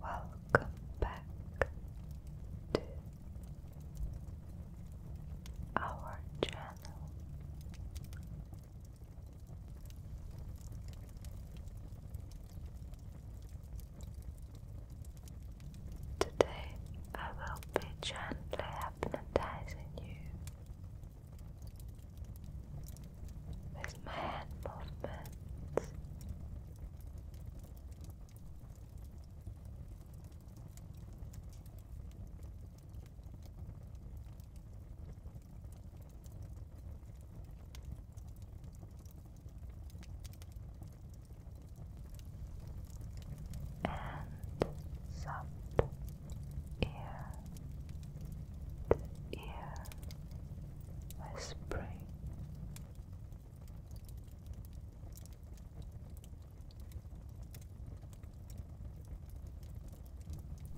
Welcome back to our channel. Today I will be gently hypnotizing you with my hand movements. And soft ear to ear whispering.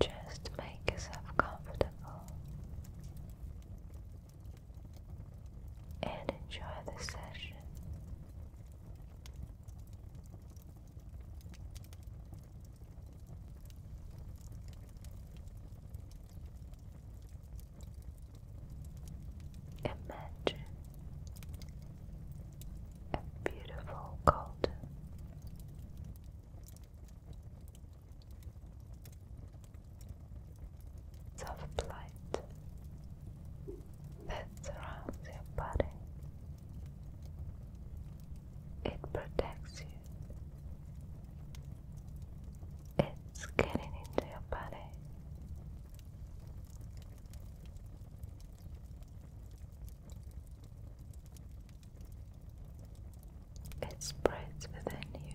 Just make yourself comfortable and enjoy the session. Imagine a beautiful garden. Soft light that surrounds your body. It protects you. It's getting into your body. It spreads within you.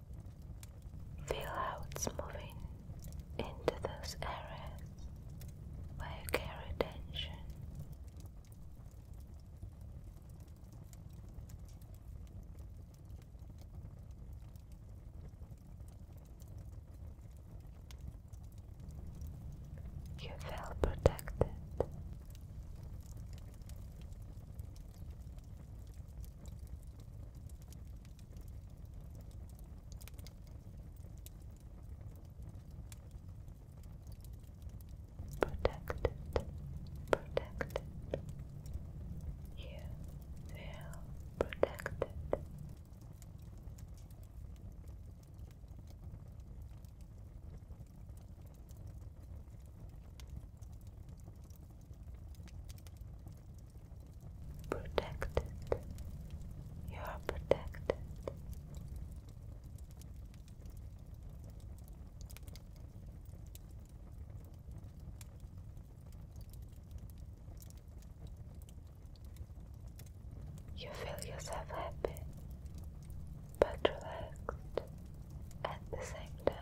Feel how it's moving into those areas where you carry tension. You feel protected. Protect it, You feel protected protected. You are protected. You feel yourself happy but relaxed at the same time.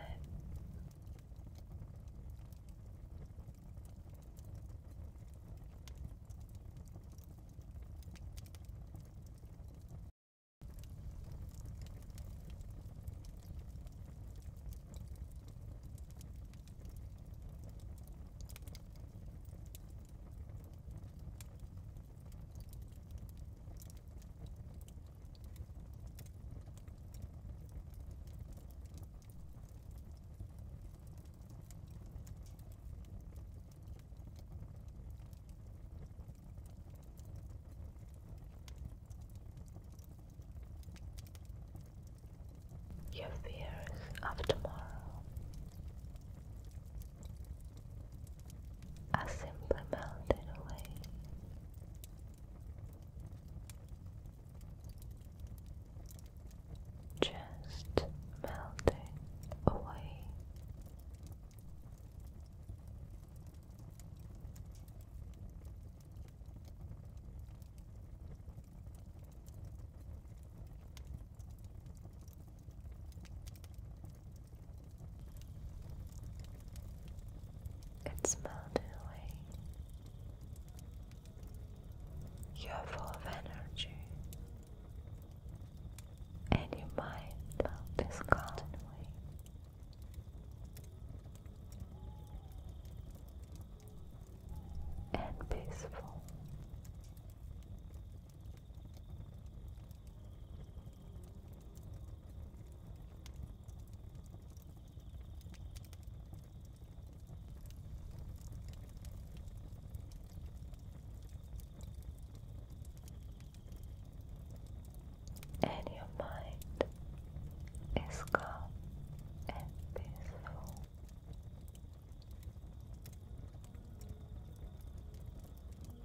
Your fears of tomorrow. I simply melted away. Just melting away. It's melted away. You're full of energy, and your mind is gone away. And peaceful and your mind is calm and peaceful.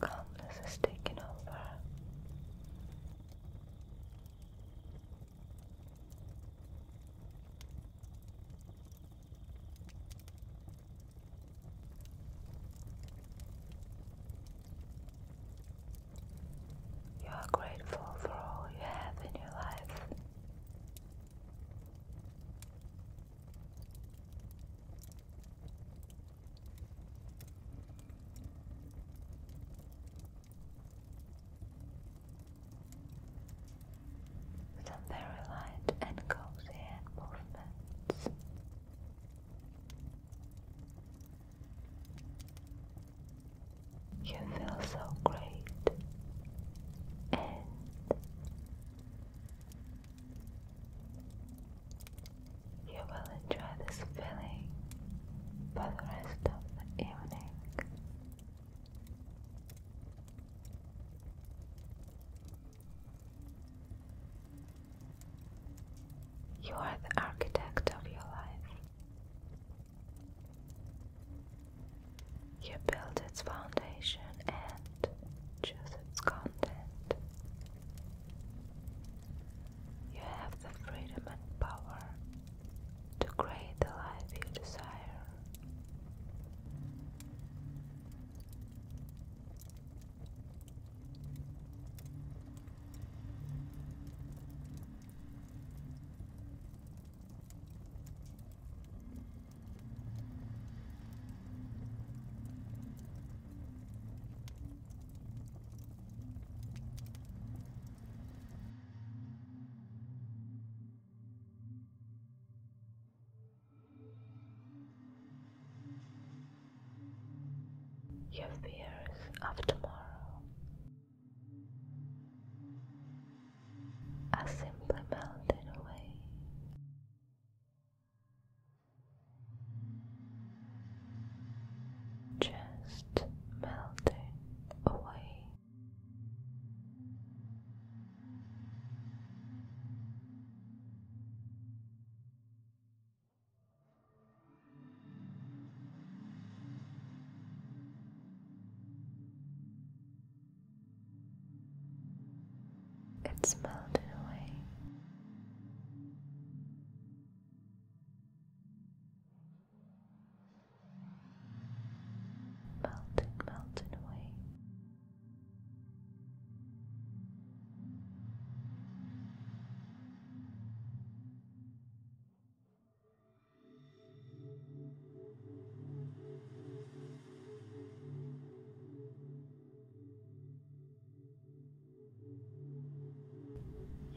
Calmness is taking over. You are grateful for all you have in your life. Some very light and cozy movements. You feel so great and you will enjoy this feeling for the rest of the evening. You are the architect of your life. You build its foundation and choose its content. You have the freedom and power to create the life you desire. Your fears of tomorrow I simply melted away. Just melting away. It's melted away. Melted, melted away.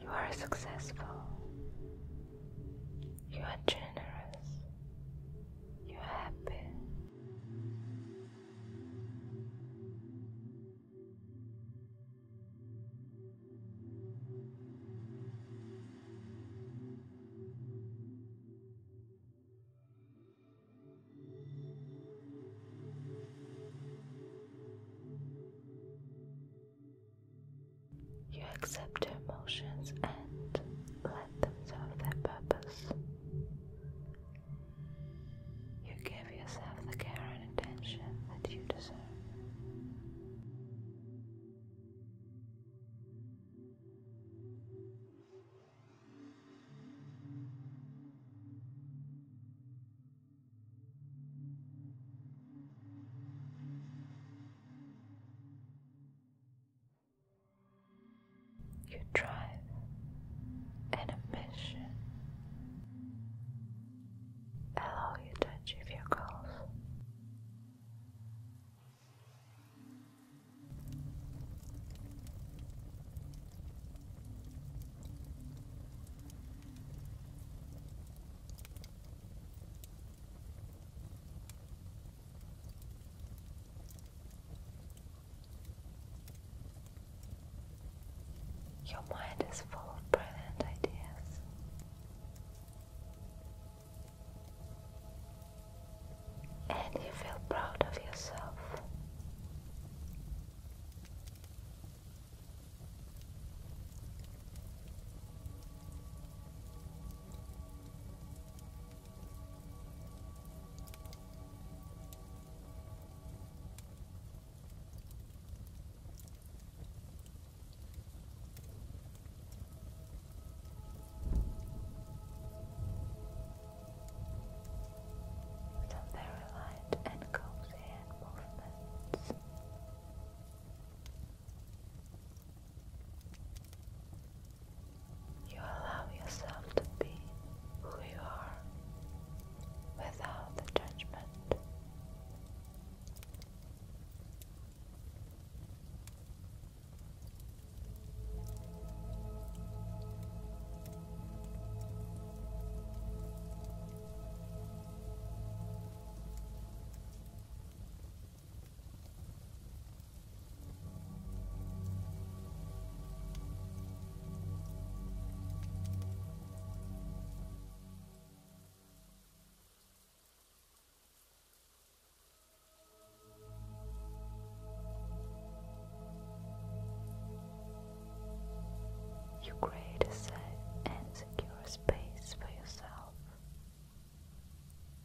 You are successful. You are generous. You are happy. You accept your emotions and let them serve their purpose. You give yourself the care and attention that you deserve. You drive in a mission Hello, you to achieve your goals. Your mind is full of brilliant ideas. And you feel proud of yourself. Some very light and cozy movements. You allow yourself to be who you are without the judgment. You create a safe and secure space for yourself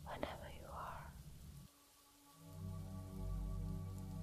whenever you are.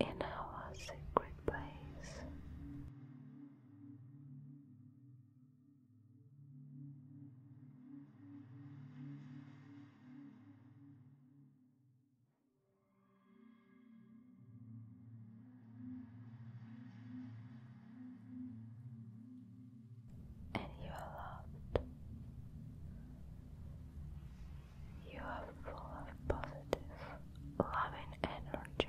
in our secret place. And you are loved. You are full of positive, loving energy.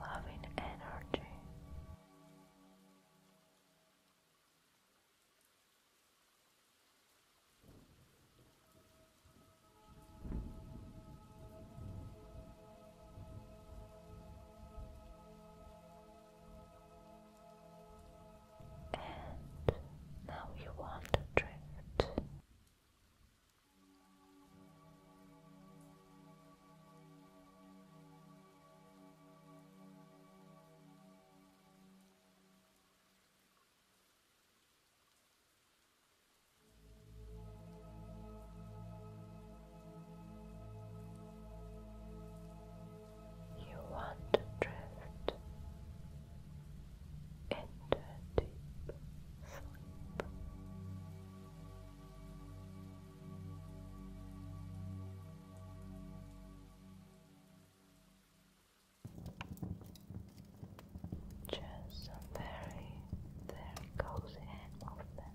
loving energy and now you want to drift. You want to drift into a deep sleep. Just a very, very cozy movement.